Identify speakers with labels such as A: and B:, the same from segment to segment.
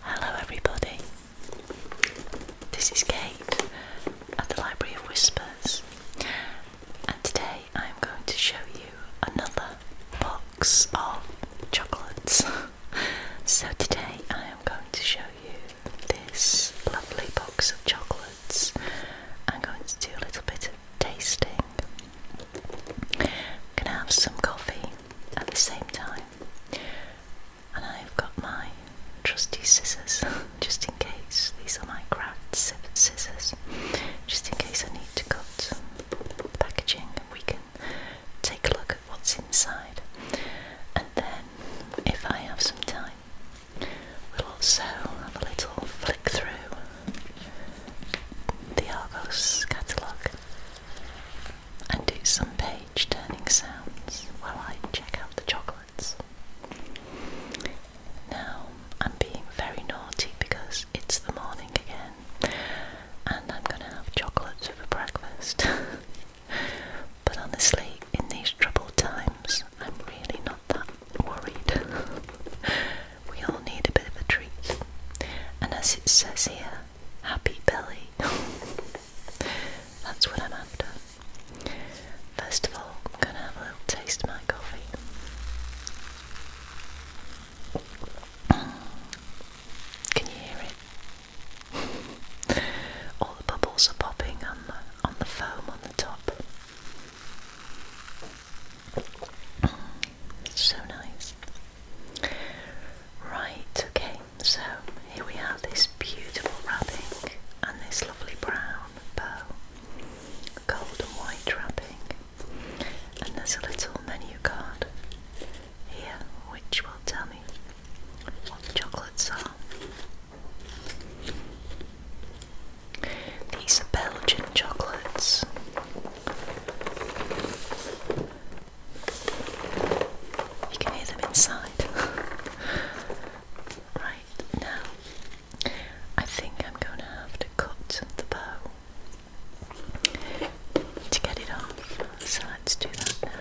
A: Hello, everybody. This is Kate at the Library of Whispers, and today I'm going to show you another box of chocolates. so, today I am going to show you this lovely box of chocolates. I'm going to do a little bit of tasting. I'm gonna have some coffee at the same time, and I've got my trusty scissors just in case. These are my craft scissors, just in case I need to cut packaging, and we can take a look at what's inside. And then, if I have some time, we'll also have a little flick through the Argos catalogue and do some page turning sounds while I check out the chocolates. Now I'm being very naughty because it's the morning again and I'm going to have chocolates for breakfast. but honestly, in these troubled times, I'm really not that worried. we all need a bit of a treat. And as it says here, happy belly. That's what I'm after. First of all, I'm going to have a little taste of my coffee. Mm. Can you hear it? all the bubbles are popping on the, on the foam on the top. It's so nice. Right, okay, so here we have this beautiful wrapping and this lovely brown bow, gold and white wrapping, and there's a little menu card here which will tell me what the chocolates are. These are Belgian chocolates. You can hear them inside. right, now I think I'm going to have to cut the bow to get it off. So let's do that now.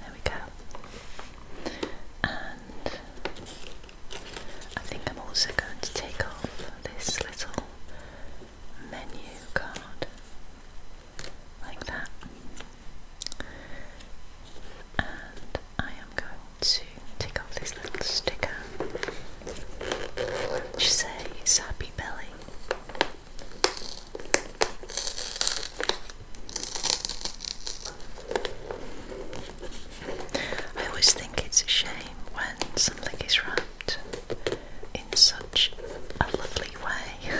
A: There we go and I think I'm also going to take off this little menu card like that and I am going to take off this little sticker which says happy belly I always think it's a shame when something is wrapped in such a lovely way,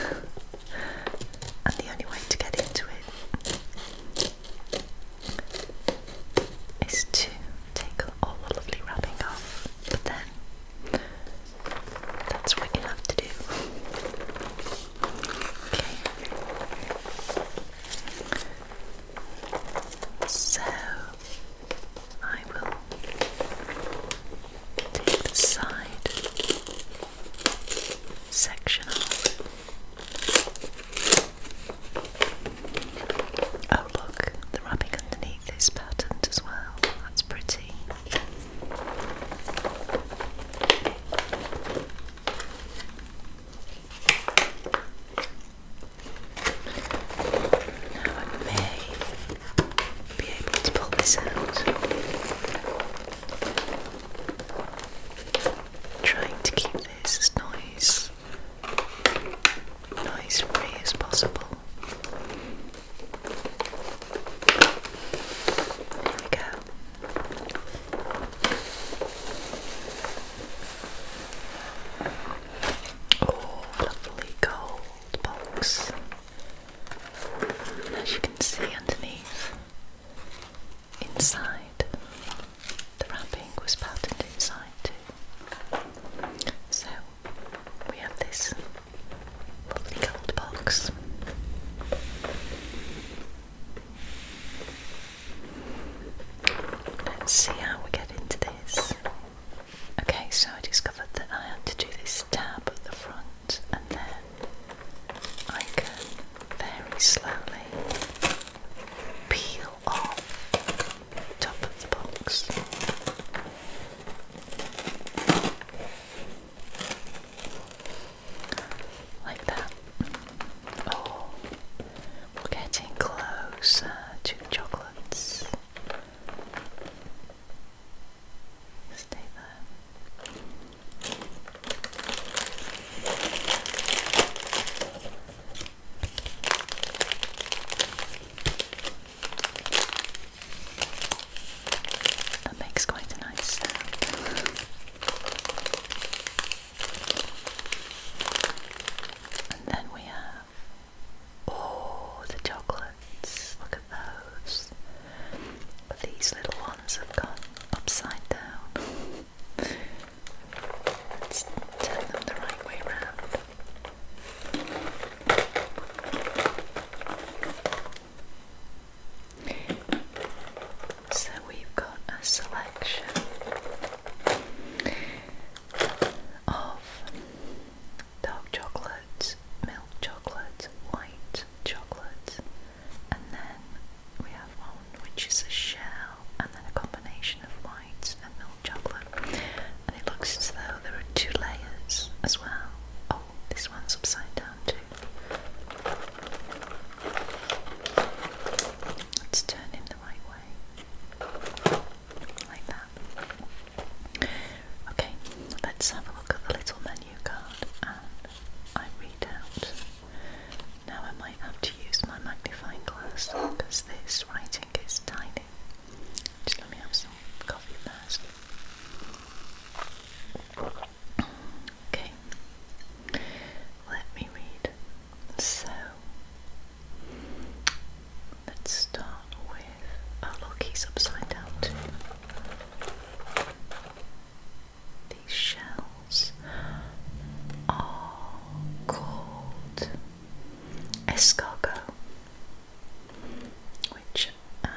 A: and the only way to get into it is to take all the lovely wrapping off, but then that's what you have to do. So I will take the side section off. Oh look, the wrapping underneath is patterned as well. That's pretty. Now I may be able to pull this out. Trying to keep this as noise noise free as possible. Here we go. Oh, lovely gold box. As you can see underneath, inside, the wrapping was patterned inside too. So we have this lovely gold box. Let's see how we get into this. Okay, so I discovered that I had to do this tab at the front and then I can very slowly peel off top of the box. Like that. Oh, we're getting closer uh, to chocolates. Stay there. That makes quite a nice sound. And then we have, oh, the chocolates. Look at those. But these little ones have gone upside down. Let's turn them the right way round. So we've got a selection of dark chocolate, milk chocolate, white chocolate, and then we have one which is a shell and then a combination of white and milk chocolate. And it looks as though there are two layers as well oh, this one's upside down too. Let's turn him the right way. Like that. Okay, let's have a look at the little menu card and I read out. Now I might have to use my magnifying glass because this writing is tiny. Just let me have some coffee first. Okay, let me read. So, let's start with. Oh, look, upside down These shells are called escargot, which um,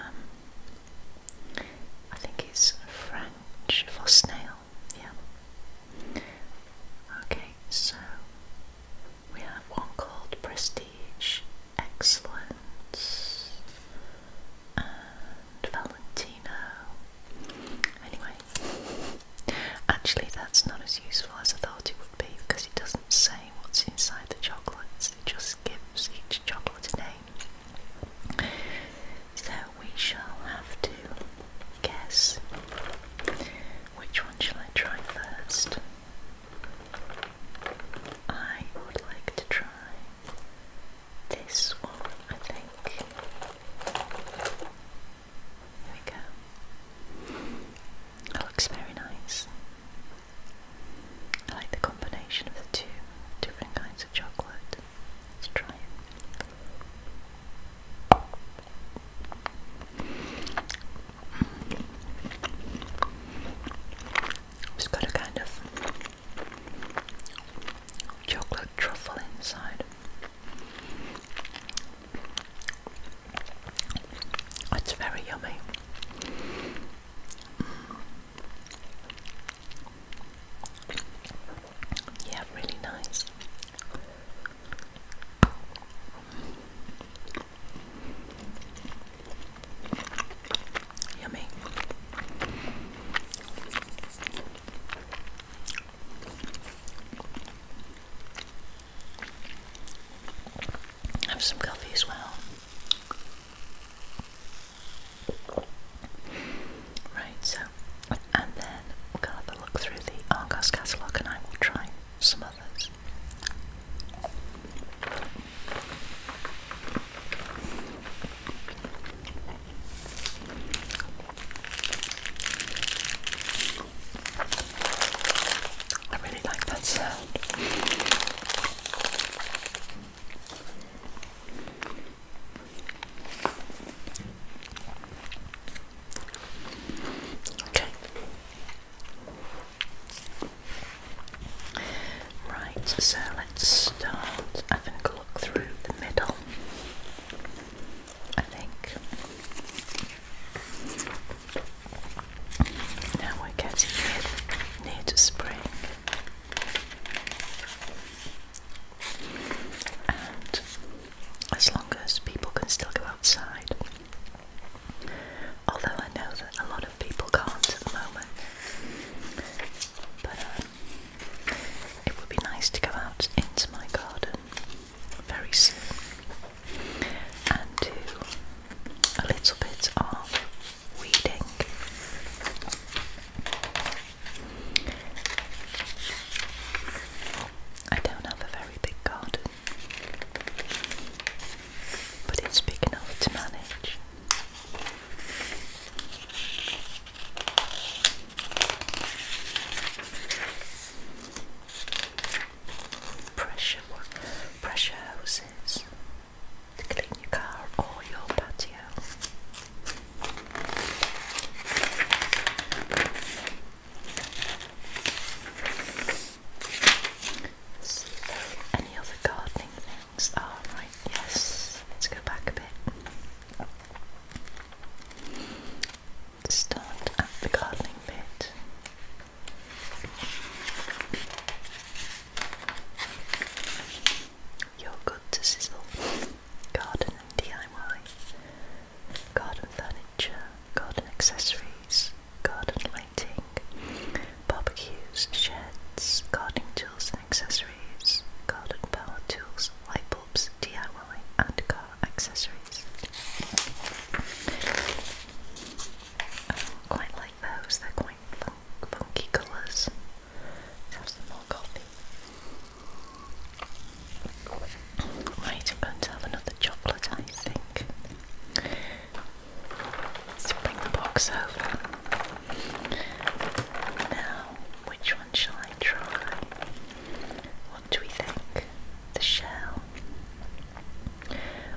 A: I think it's French for snail, yeah. Okay, so we have one called Prestige, Excellence, and Valentino. Anyway, actually, that's not as useful as I thought it would be because it doesn't say what's inside the chocolates, it just gives each chocolate a name. So we shall have to guess. Which one shall I try first? I would like to try this one, I think. There we go. It looks very nice. I like the combination of the two different kinds chocolate. Let's try it. It's got a kind of chocolate truffle inside. It's very yummy. Yeah, really nice. Yummy. Have some coffee as well. Right, so, and then we'll go have a look through the Argos catalogue and I will try some others. I really like that sound. Okay. Right, so let's start having a look through the middle. I think now we're getting near to spring. And as long as people can still go outside, although I know that a lot of people can't at the moment, but um, it would be nice to go out into my garden very soon and do a little bit of Weeding. I don't have a very big garden, but it's big enough to manage. Pressure, pressure houses to clean your car or your patio. So, any other gardening things? Oh, right, yes. Let's go back a bit. Start at the gardening bit. You're good to sizzle. Garden DIY. Garden furniture. Garden accessories. Garden lighting. Barbecues, sheds, gardening tools and accessories. Garden power tools, light bulbs, DIY and car accessories. I quite like those, they're quite fun funky colors have some more coffee. Right, i going to have another chocolate, I Let's bring the box over. Now, which one shall I try? What do we think? The shell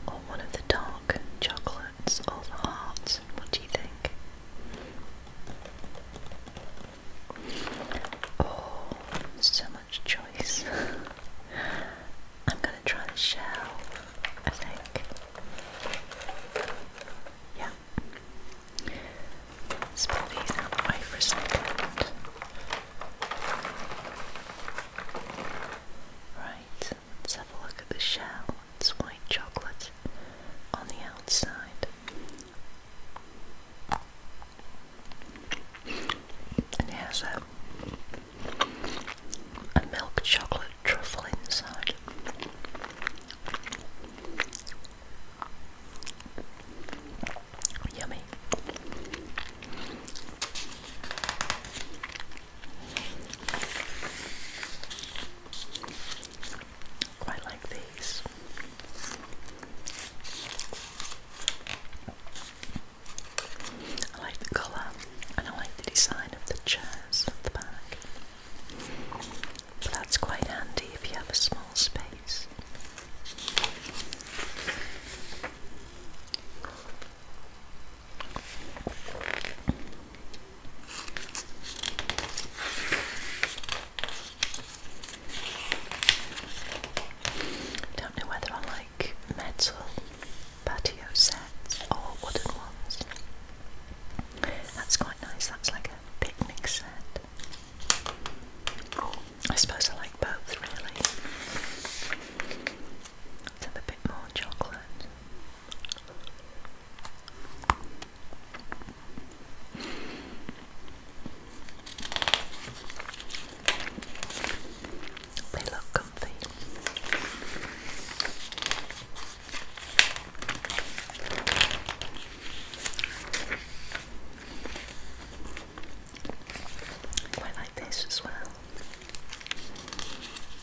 A: or one of the dark chocolate? diamonds or the hearts? What do you think? Oh, so much choice. I'm gonna try the shell, I think. Yeah. let these out for a second. Right. Let's have a look at the shell. It's white chocolate on the outside. And it has a, a milk chocolate truffle inside. Yummy. Quite like these. I like the colour and I like the design of the chairs at the back. But that's quite handy if you have a small space. Don't know whether I like metal patio sets or wooden ones. That's quite nice, that's like a picnic set. I suppose I like both really. let a bit more chocolate. They look comfy. Quite like this as well.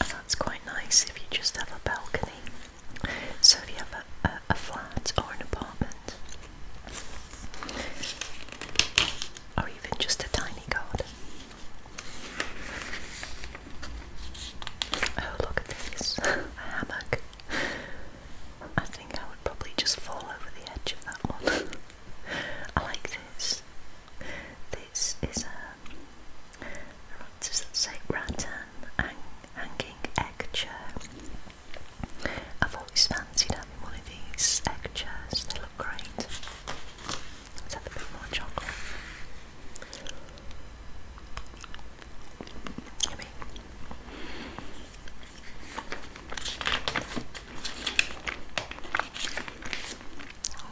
A: And that's quite nice if you just have a balcony. So if you have a, a, flat or an apartment, or even just a tiny garden. Oh, look at this a hammock. I think I would probably just fall over the edge of that one. I like this. This is a Right, so that's hanging egg chair. I've always fancied having one of these egg chairs, they look great. Let's have a bit more chocolate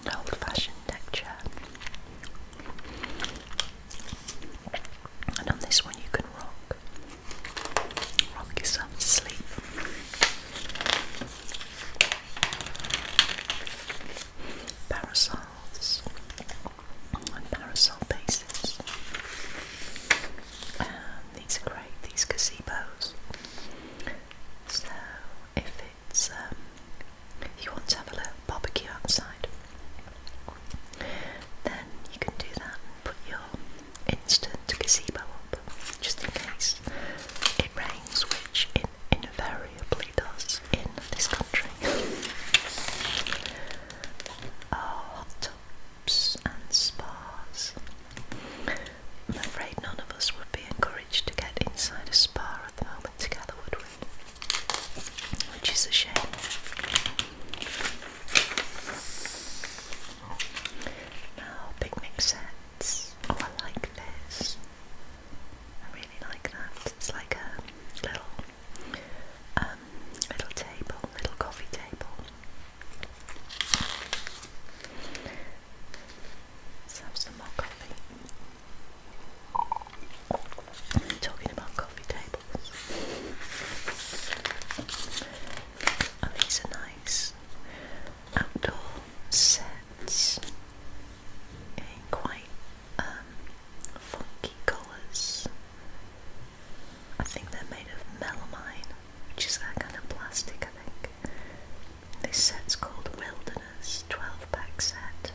A: an old fashioned texture. And on this one, you can rock, rock yourself to sleep. Parasols and parasol bases. Um, these are great, these gazebos. So, if it's um, you want to have a little barbecue outside, then you can do that put your instant gazebo up just in case it rains, which it invariably does in this country. Oh, hot tubs and spas. I'm afraid none of us would be encouraged to get inside a spa of the moments which is a shame. Now, picnic sets. Oh, I like this. I really like that. It's like a little, um, little table, little coffee table. Let's have some more coffee. Talking about coffee tables. Oh, these are nice. Outdoor sets in quite um, funky colours. I think they're made of melamine, which is that kind of plastic, I think. This set's called Wilderness 12 pack set.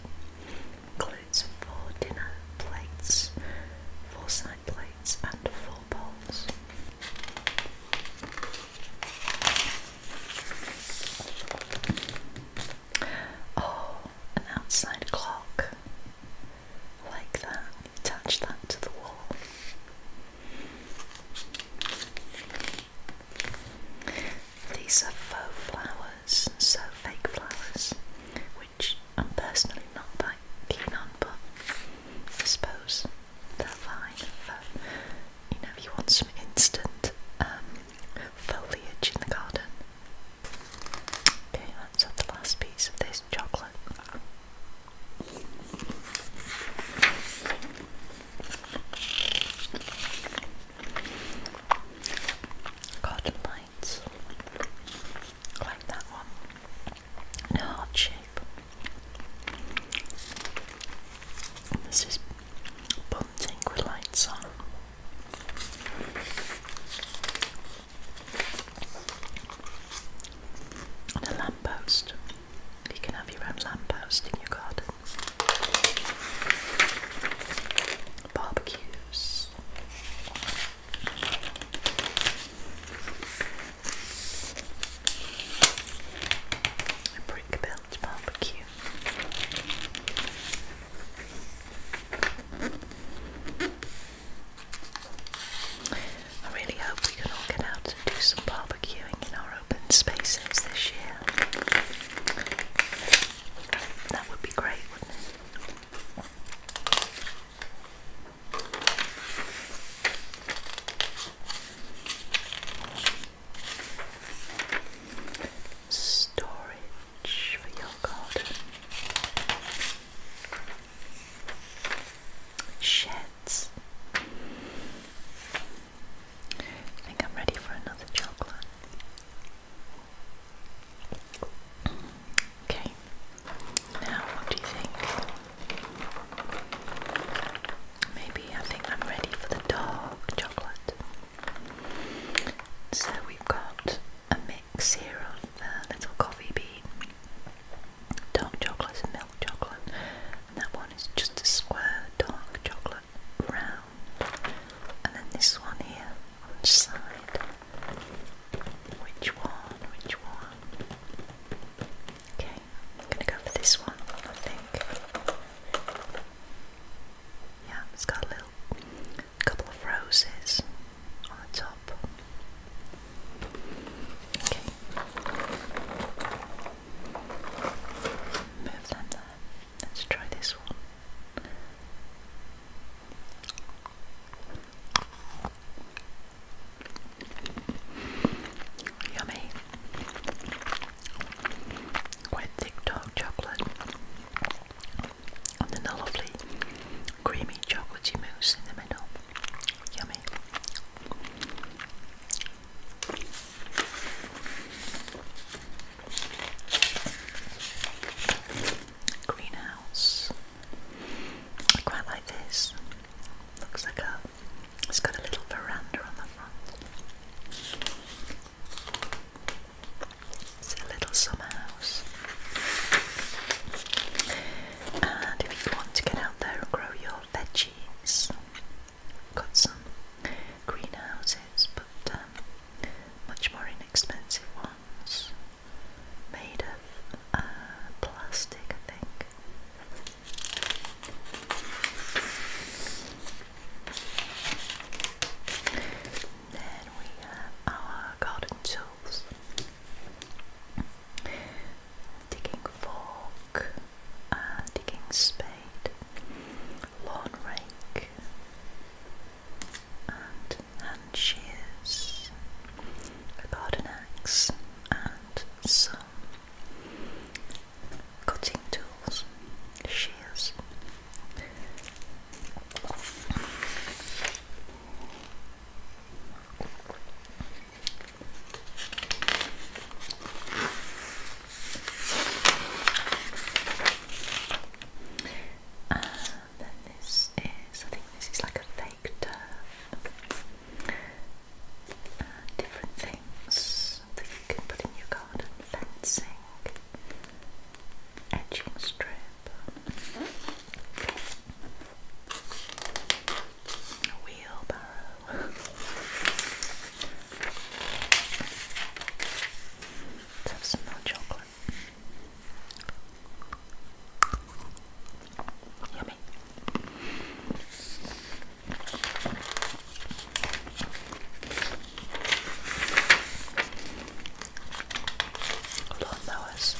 A: Includes four dinner plates, four side plates, and four bowls. Oh, an outside clock. like that. Attach that to the wall. These are faux flowers, so fake flowers, which I'm personally not buying. but I suppose they're fine you know, if you want some instant um, foliage in the garden. Okay, that's the last piece of this chocolate. Garden lights. Like that one. In a heart shape. this is bunting with lights on. And a lamppost. You can have your own lamppost in your garden barbecues. A brick built barbecue. I really hope we can all get out and do some barbecuing barbecuing in our open spaces this year. That would be great, wouldn't it? Storage for your garden. Sheds. I think I'm ready for another chocolate. Okay, now what do you think? Maybe I think I'm ready for the dark chocolate. So we've got a mix here of uh, little coffee bean, dark chocolate milk chocolate, that one is just a square dark chocolate round. And then this one here on the side. Which one? Which one? Okay, I'm gonna go for this one, I think. Yeah, it's got a little couple of roses on the top. Okay. Move them there. Let's try this one. Yummy. Quite thick dark chocolate. And then a lovely creamy chocolatey mousse in the middle. Yummy. Greenhouse. quite like this. Looks like a it's got a little veranda on the front. It's a little summer house. And if you want to get out there and grow your veggies, got some greenhouses, but um, much more inexpensive ones, made of uh, plastic, I think. Then we have our garden tools. Digging fork, uh, digging spade, lawn rake, and shears, a garden axe, and some cutting tools, shears. Um, and then this is, I think this is like a fake turf. Uh, different things that you can put in your garden, fencing, edging strip, wheelbarrow, Let's have some more chocolate. Yummy. Lawn mowers.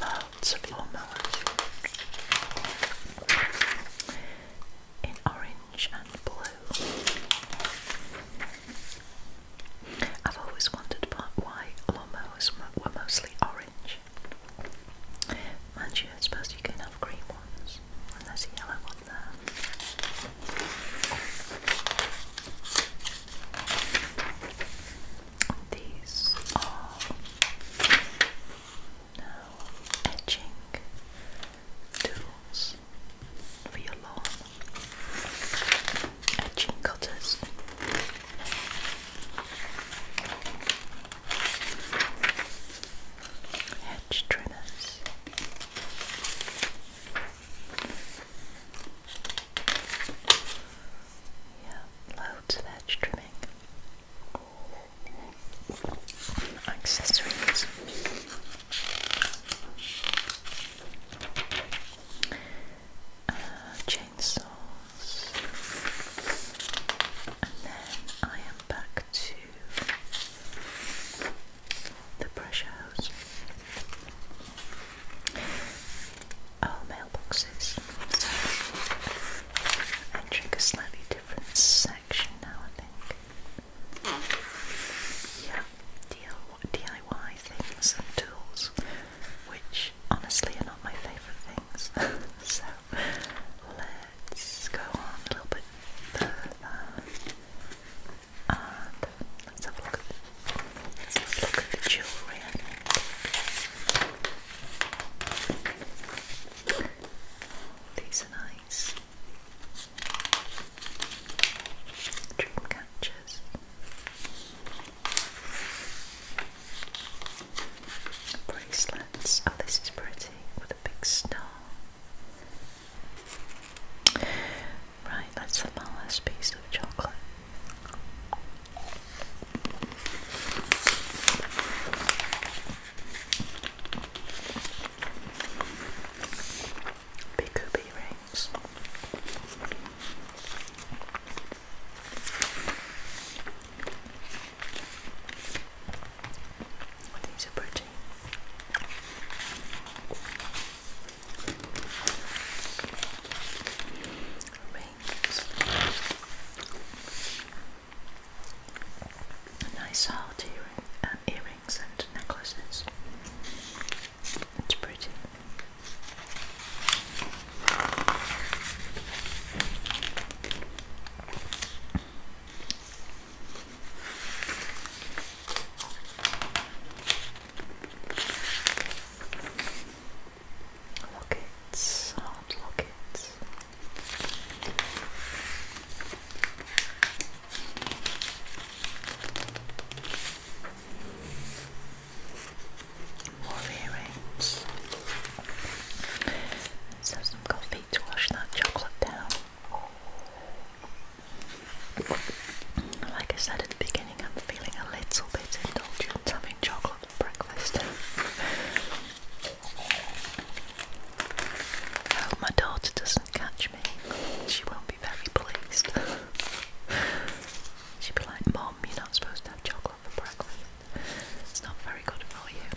A: Lots of lawnmowers in orange and blue. I've always wondered why lawnmowers were mostly orange much. Mind you, I suppose you can have green ones, and there's a yellow one there. These are now edging tools for your lawn, edging cutters hedge trimmers. Yeah, loads of edge trimming. Accessories. Uh, chainsaws. And then I am back to the brush house. Oh, mailboxes. entering a slightly different section now, I think. Yeah, DIY things and tools, which honestly are not my favourite things. so, let's go on a little bit further. And let's have a look let's have a look at the jewellery. These are nice. Dream Bracelets. Oh, this is pretty with a big star. Right, let's have my last piece of chocolate. Big hoop earrings. I think so pretty. Rings. A nice heart earring, um, earrings and necklaces. It's pretty. Lockets, hard lockets. More earrings. So some coffee to wash that chocolate down. Like I said at the beginning, I'm feeling a little bit indulgent having chocolate for breakfast. hope my daughter doesn't catch me. She won't be very pleased. She'd be like, Mom, you're not supposed to have chocolate. It's not very good for you.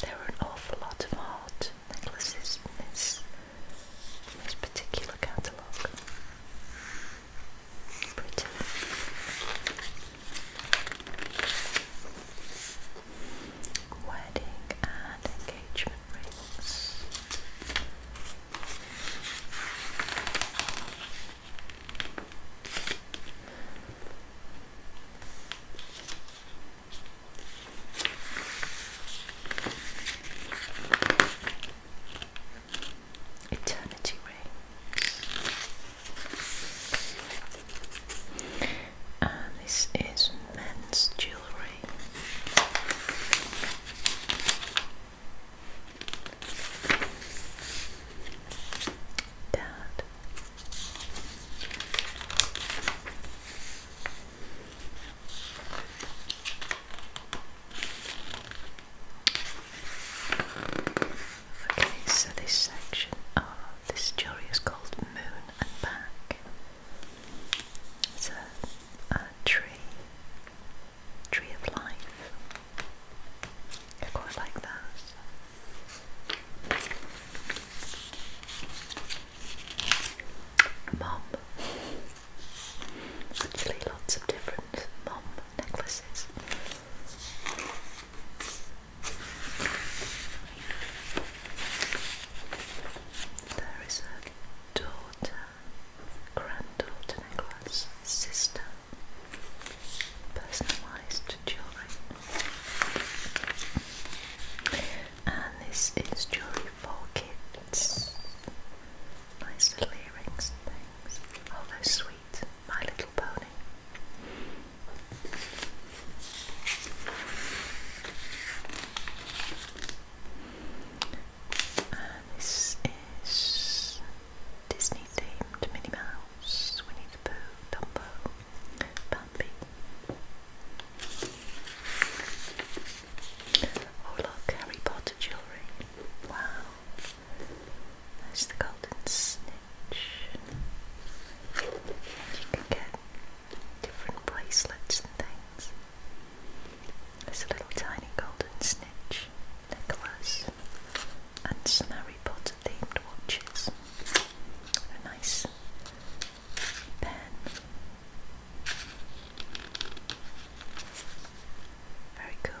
A: There are an awful lot of heart necklaces in this, particular catalogue. Pretty. Wedding and engagement rings. Eternity rings this is men's jewellery. Dad. Okay, so this section of this jewellery is called Moon and Back. It's a, tree, tree of life. I quite like those. Mom. Actually, lots of different mom necklaces. There is a daughter, granddaughter a sister, personalised to jewellery. And this is jewellery for kids. Nice little earrings and things. Oh, they're My Little Pony this is Disney themed Minnie Mouse, Winnie the Pooh, Dumbo, Bambi. Oh look, Harry Potter jewellery. Wow. There's the golden snitch. And you can get different bracelets and things. There's a little tiny golden snitch, necklace, and some Potter themed watches. A nice pen. Very cool.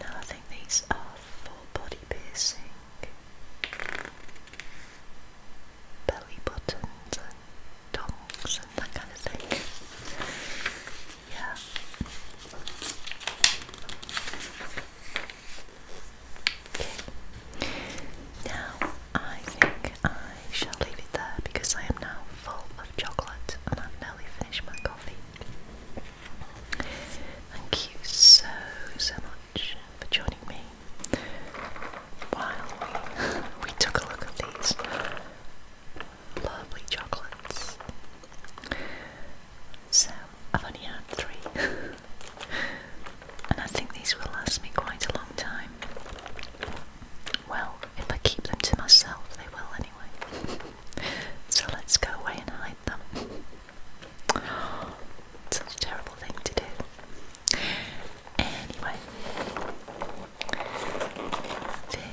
A: Now I think these are for body piercing belly buttons and tongs and that kind of thing. Yeah. Okay. Now I think I shall leave it there because I am now full of chocolate and I've nearly finished my coffee. Thank you so so much for joining me while we, we took a look at these lovely chocolates. So, I've only had three, and I think these will last me quite a long time. Well, if I keep them to myself, they will anyway. so, let's go away and hide them such a terrible thing to do. Anyway,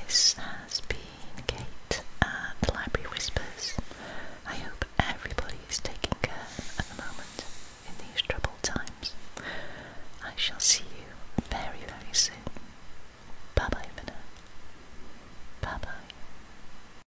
A: this has been Kate at the Library Whispers. I hope everybody is taking care at the moment in these troubled times. I shall see you very, very soon. Bye bye for Bye bye.